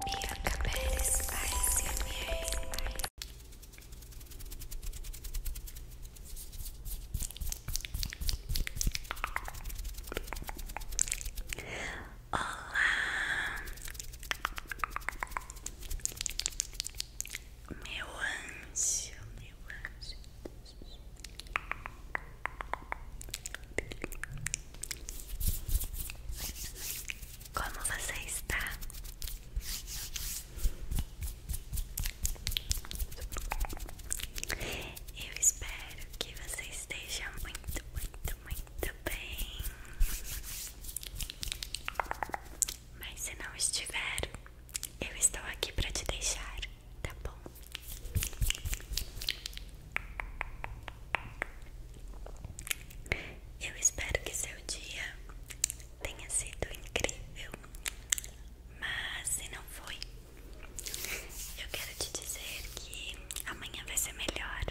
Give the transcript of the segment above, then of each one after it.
Bianca Pérez ASMR Olá, meu anjo, meu anjo. Como você está? Eu espero que você esteja muito, muito, muito bem. Mas se não estiver, eu estou aqui para te deixar, tá bom? Eu espero que seu dia tenha sido incrível, mas se não foi, eu quero te dizer que amanhã vai ser melhor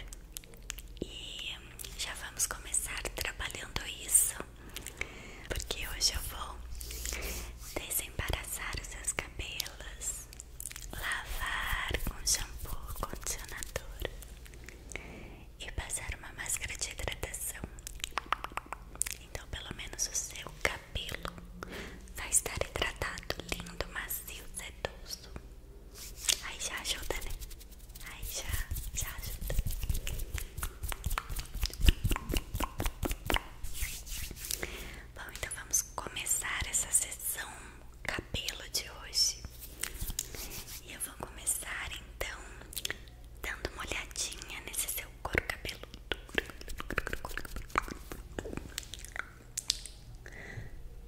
e já vamos começar trabalhando isso, porque hoje eu vou desembaraçar os seus cabelos, lavar com shampoo, condicionador e passar uma máscara de hidratação. Então, pelo menos o seu cabelo vai estar hidratado, lindo, macio, sedoso. Aí já ajuda, né? Aí já, já ajuda. Bom, então vamos começar essa sessão cabelo de hoje. E eu vou começar então dando uma olhadinha nesse seu couro cabeludo.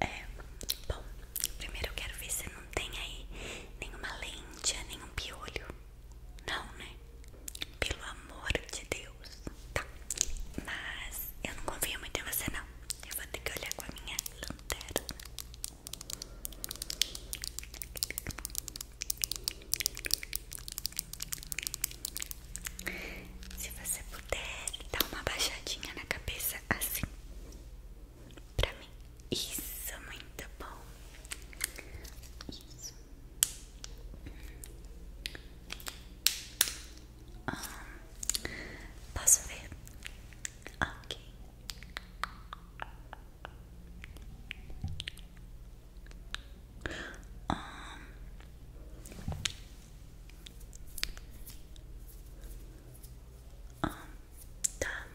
É, bom, primeiro eu quero ver se você não tem aí nenhuma lente, nenhum piolho. Não, né? Pelo amor de Deus. Tá. Mas eu não confio muito em você, não. Eu vou ter que olhar com a minha lanterna. Se você puder, dá uma baixadinha na cabeça assim. Pra mim. Isso, muito bom. Isso. Ah, posso ver? Ok. Ah, ah, tá.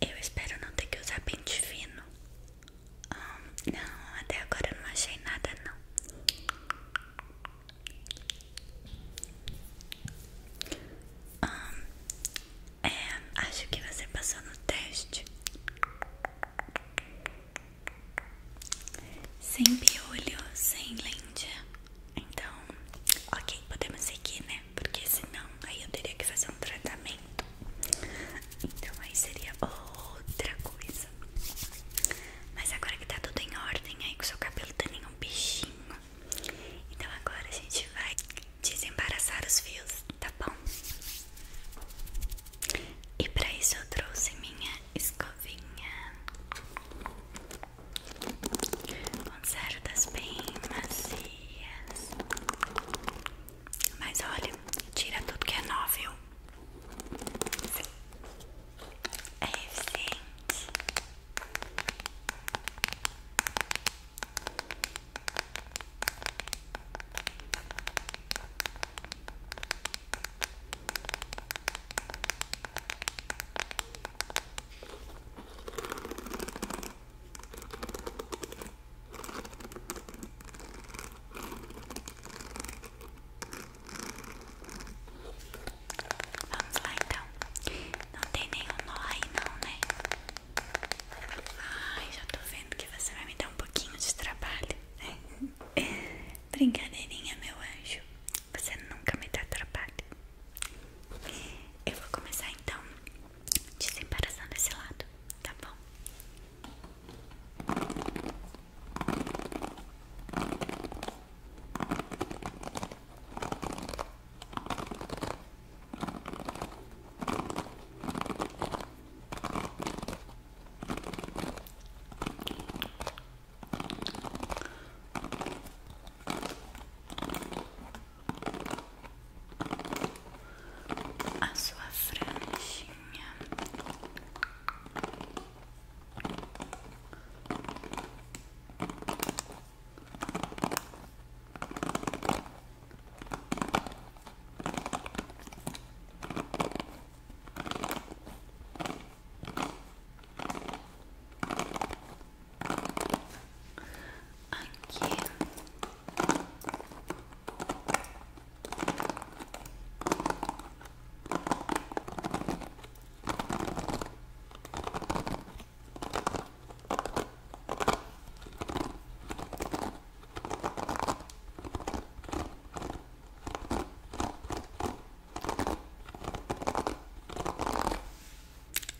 Eu espero não ter que usar pente fino. Ah, não, até agora eu não achei nada não. Ah, é, acho que você passou no teste. Sem piolho, sem lente. Então, ok, podemos seguir, né? Porque senão aí eu teria que fazer um tratamento. Então aí seria outra coisa. Mas agora que tá tudo em ordem aí, que o seu cabelo tá nenhum bichinho. Então agora a gente vai desembaraçar os fios, tá bom? E pra isso eu trouxe minha escovinha. Com cerdas bem macias. Mas olha, tira tudo que é nó, viu? É eficiente. Vamos lá então. Não tem nenhum nó aí não, né? Ai, já tô vendo que você vai me dar um pouquinho de trabalho, né? Brincadeirinha, meu anjo. Você nunca me dá trabalho. Eu vou começar então desembaraçar desse lado, tá bom? a sua franjinha. Aqui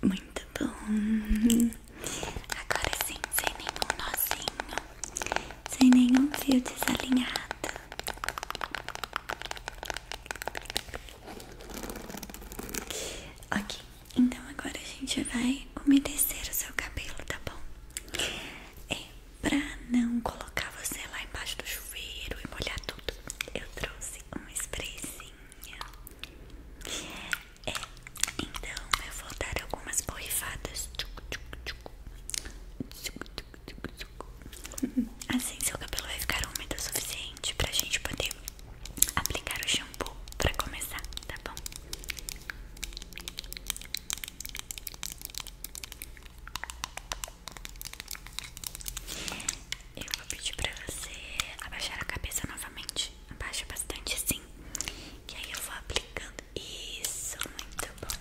muito bom. Agora sim, sem nenhum nozinho, sem nenhum fio desalinhado. Ok, então agora a gente vai umedecer o seu cabelo, tá bom? É pra não colocar você lá embaixo do chuveiro e molhar tudo. Eu trouxe um sprayzinho. É, então eu vou dar algumas borrifadas Assim seu cabelo vai ficar úmido o suficiente pra gente poder aplicar o shampoo pra começar, tá bom? Eu vou pedir pra você abaixar a cabeça novamente Abaixa bastante assim que aí eu vou aplicando. Isso, muito bom.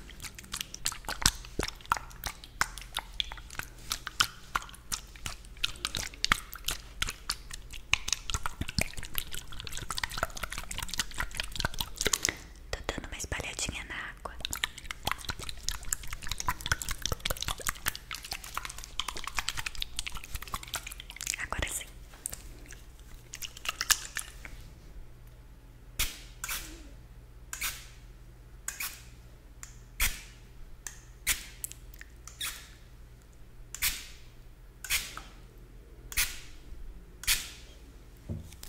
Tô dando uma espalhadinha na água. Agora sim.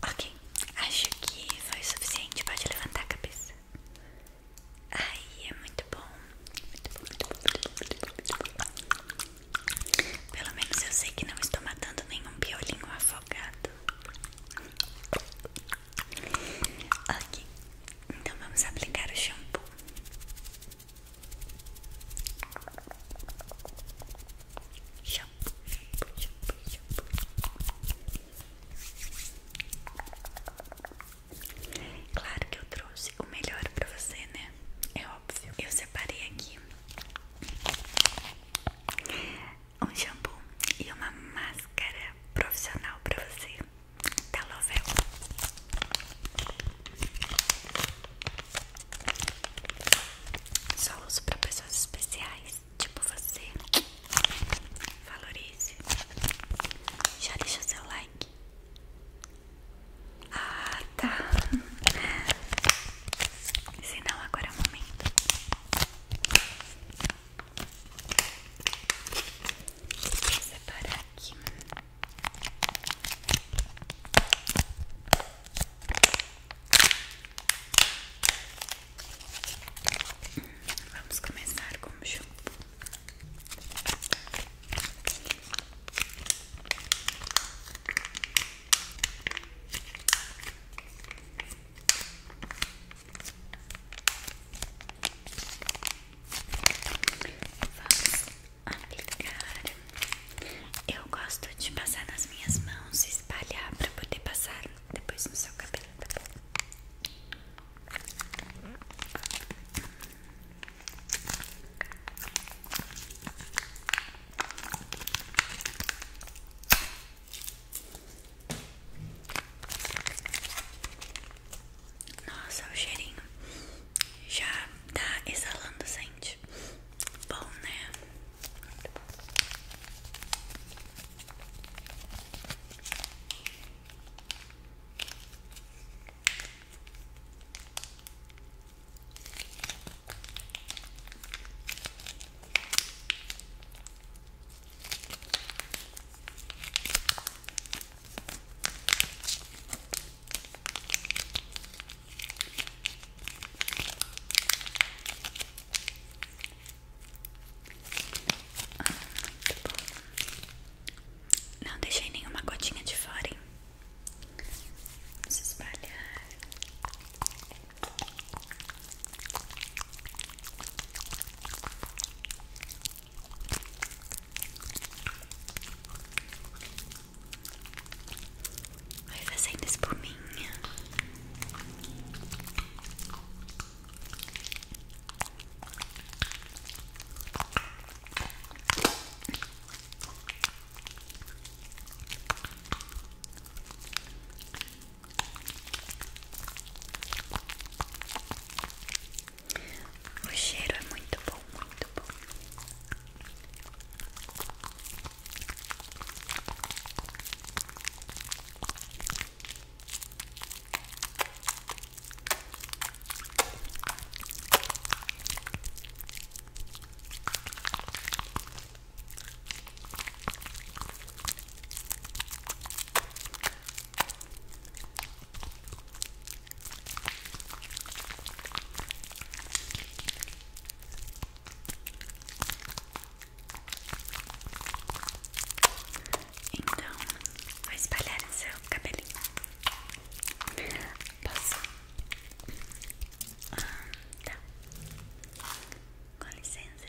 Ok, acho que foi o suficiente. Pode levantar a cabeça. Aí é muito bom. Pelo menos eu sei que não estou matando nenhum piolinho afogado. Ok, então vamos aplicar o shampoo. Shampoo, shampoo, shampoo, shampoo. Claro que eu trouxe o melhor pra você, né? É óbvio. Eu separei aqui um shampoo e uma máscara profissional pra você da tá, Lovell. Só uso pra pessoas especiais, tipo você. Valorize. Já deixa seu like. Ah, tá. Se não, agora é o momento. separar aqui. Vamos começar com o shampoo. Vamos aplicar. Eu gosto de passar nas minhas mãos espalhar para poder passar depois no seu cabelo, tá nossa, o cheirinho já tá exalando, sente? Bom, né? Não deixei nenhuma gotinha de fora, Vamos espalhar. Vai fazendo espuminha. O cheiro é muito bom, muito bom. Então, vou espalhar seu cabelinho. Posso? Ah, tá. Com licença.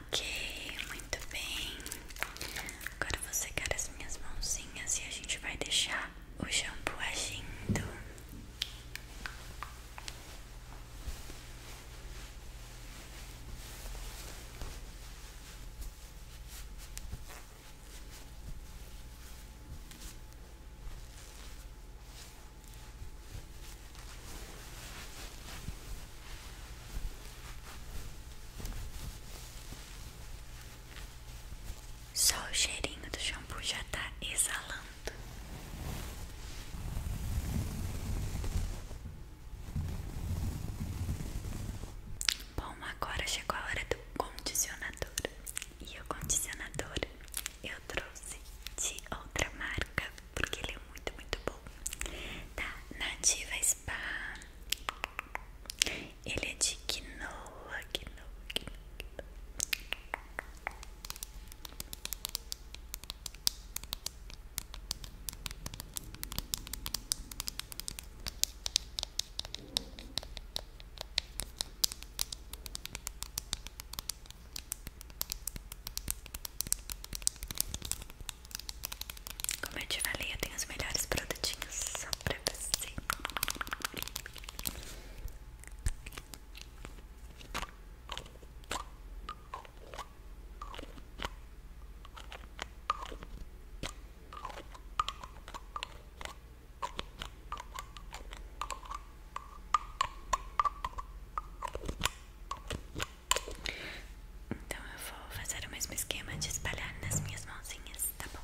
Ok, muito bem. Agora você secar as minhas mãozinhas e a gente vai deixar o shampoo agindo. Só o cheirinho do shampoo já tá exalando. Bom, agora chegou a hora do condicionador. E o condicionador eu trouxe de outra marca porque ele é muito, muito bom. Tá, Nativa Spa. Ele é de quinoa, quinoa, quinoa. Como eu te falei, os melhores produtinhos só pra você. Então eu vou fazer o mesmo esquema de espalhar nas minhas mãozinhas, tá bom?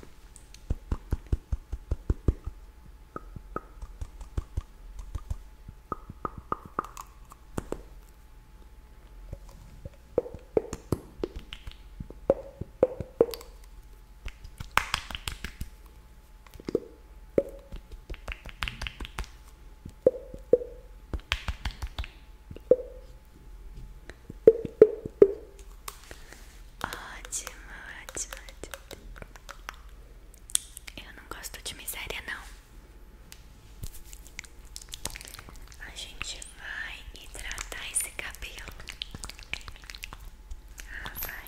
Ótimo, ótimo, ótimo. Eu não gosto de miséria, não. A gente vai hidratar esse cabelo. Ah, vai.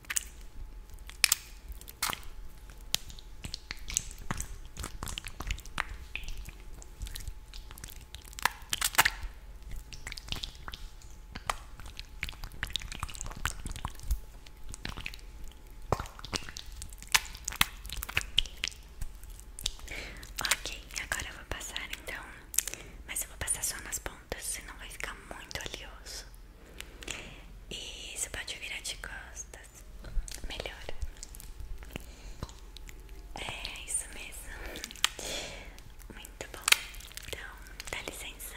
Ok, agora eu vou passar então, mas eu vou passar só nas pontas, senão vai ficar muito oleoso. E você pode virar de costas. Melhor. É isso mesmo. Muito bom. Então, dá licença.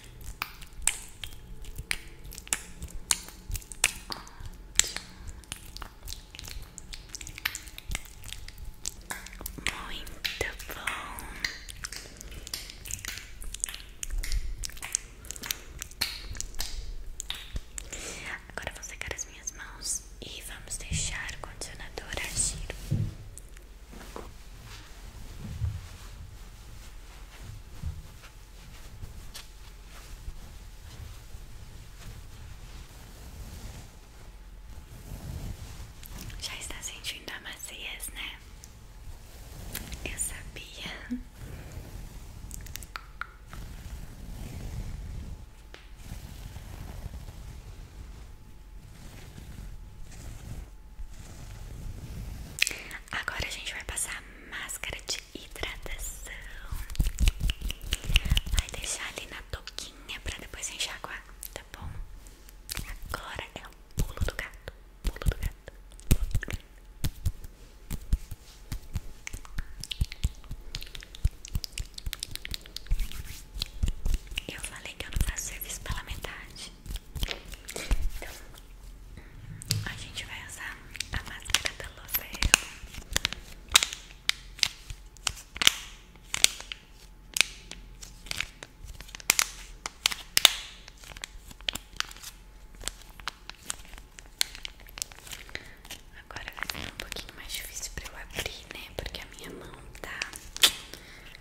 Muito bom. Agora vou secar as minhas mãos e vamos deixar o condicionador agir. Já está sentindo a maciez, né? Eu sabia. Agora a gente vai passar máscara de hidratação. Vai deixar ali na toquinha pra depois enxaguar, tá bom? Agora é o pulo do gato. Pulo do gato. Pulo do gato. Eu falei que eu não faço serviço pela metade. Então, a gente vai usar a máscara da Lovell. Agora vai ser um pouquinho mais difícil pra eu abrir, né? Porque a minha mão tá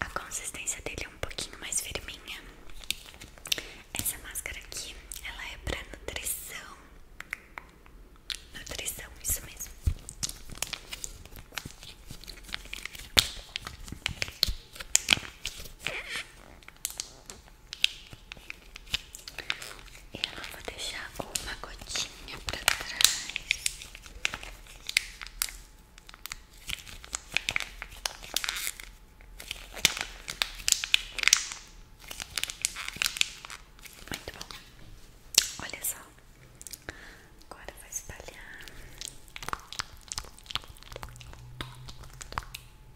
A consistência dele é um pouquinho mais firminha. Essa máscara aqui, ela é pra nutrição. Nutrição, isso mesmo. Ela vou deixar uma gotinha pra trás. Muito bom. Olha só. Agora vou espalhar.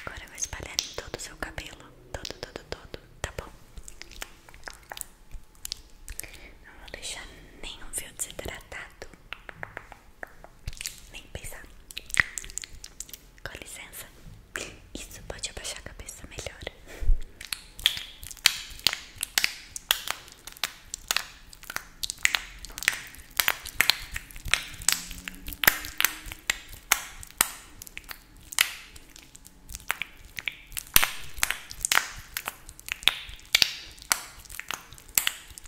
Agora eu vou espalhar todo o seu cabelo, todo, todo, todo, tá bom? Não vou deixar nenhum fio desidratado. Nem pensar. Com licença. Isso pode abaixar a cabeça melhor.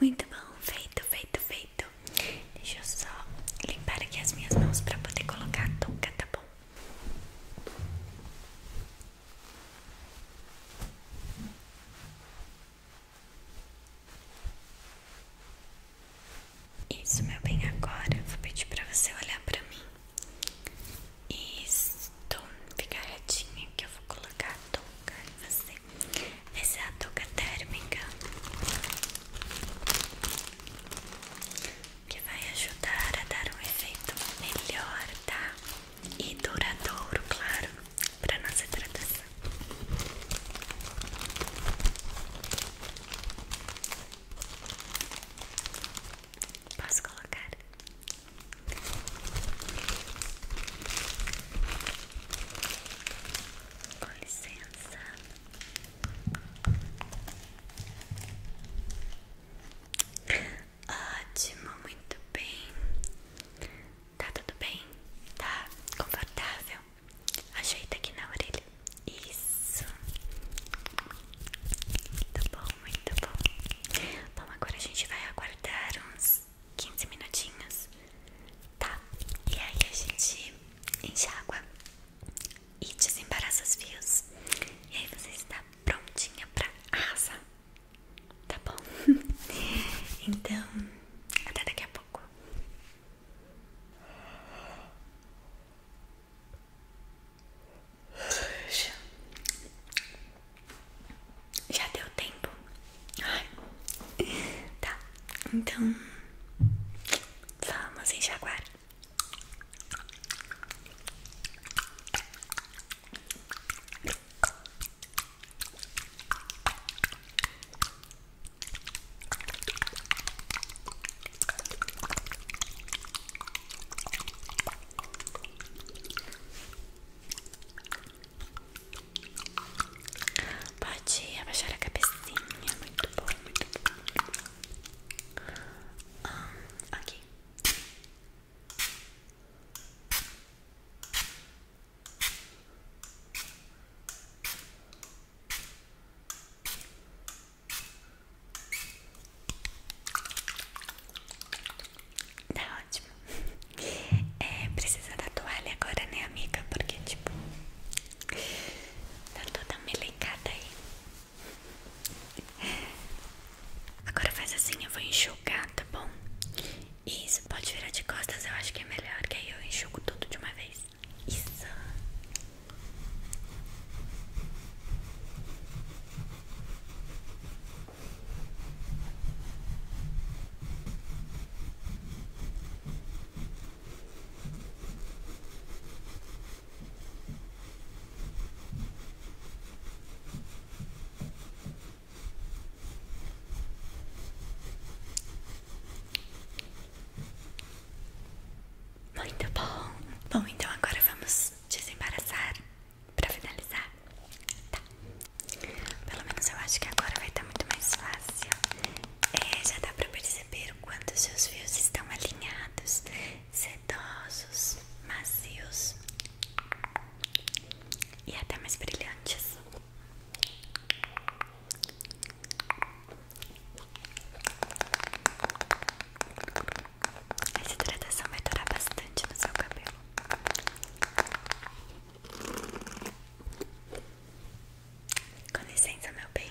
Muito bom, feito, feito, feito. Deixa eu só limpar aqui as minhas mãos para poder colocar a touca, tá bom? Isso, meu bem, agora vou pedir para você olhar para mim. Isto, fica retinha que eu vou colocar a touca em você fazem essa touca térmica que vai ajudar a dar um efeito melhor, tá? E duradouro, claro, para nossa hidratação. Posso colocar? Com licença. Ótimo, muito bem. Tá tudo bem? Tá confortável? Ajeita aqui na orelha. Isso. Muito bom, muito bom. Bom, agora a gente vai aguardar uns 15 minutinhos, tá? E aí a gente enche água e desembaraça os fios. E aí você está prontinha pra arrasar, tá bom? então, até daqui a pouco. Já deu tempo Ai. Tá, então vamos enxaguar. Pode abaixar a cabecinha. Muito bom, muito bom. Ah, ok. Tá ótimo. É, precisa da toalha agora, né, amiga? Porque, tipo, tá toda melencada aí. Agora faz assim, eu vou enxugar, tá bom? Isso, pode virar de costas, eu acho que é melhor, que aí eu enxugo tudo de uma vez. Isso. Muito bom. Bom, então agora vamos desembaraçar para finalizar. Tá. Pelo menos eu acho que agora vai estar tá muito mais fácil. É, já dá pra perceber o quanto seus fios estão alinhados, sedosos, macios e até mais brilhantes. Essa hidratação vai durar bastante no seu cabelo. Com licença, meu bem.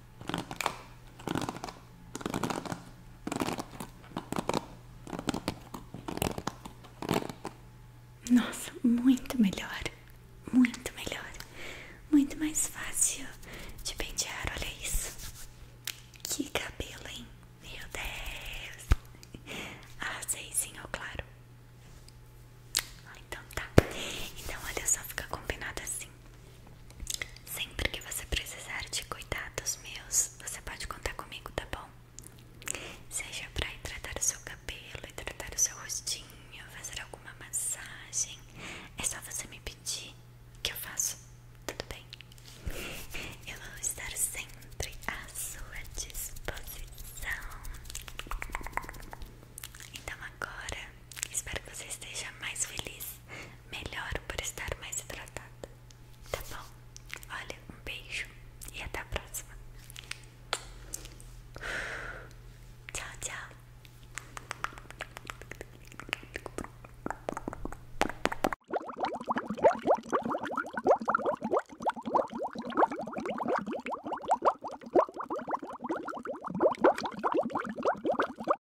Nossa, muito melhor, muito melhor, muito mais fácil de pentear. Olha isso, que cabelo, hein? Meu Deus, ah sei sim azeizinho claro. Ah, então tá, então olha só, fica combinado assim. Sempre que você precisar de cuidados meus, você pode contar comigo, tá bom? Seja pra hidratar o seu cabelo, hidratar o seu rostinho, fazer alguma massagem, é só você me pedir que eu faço, tudo bem? Eu vou estar sempre à sua disposição. Então agora, espero que você esteja mais feliz melhor por estar mais hidratada. Tá bom? Olha, um beijo e até a próxima. Tchau, tchau.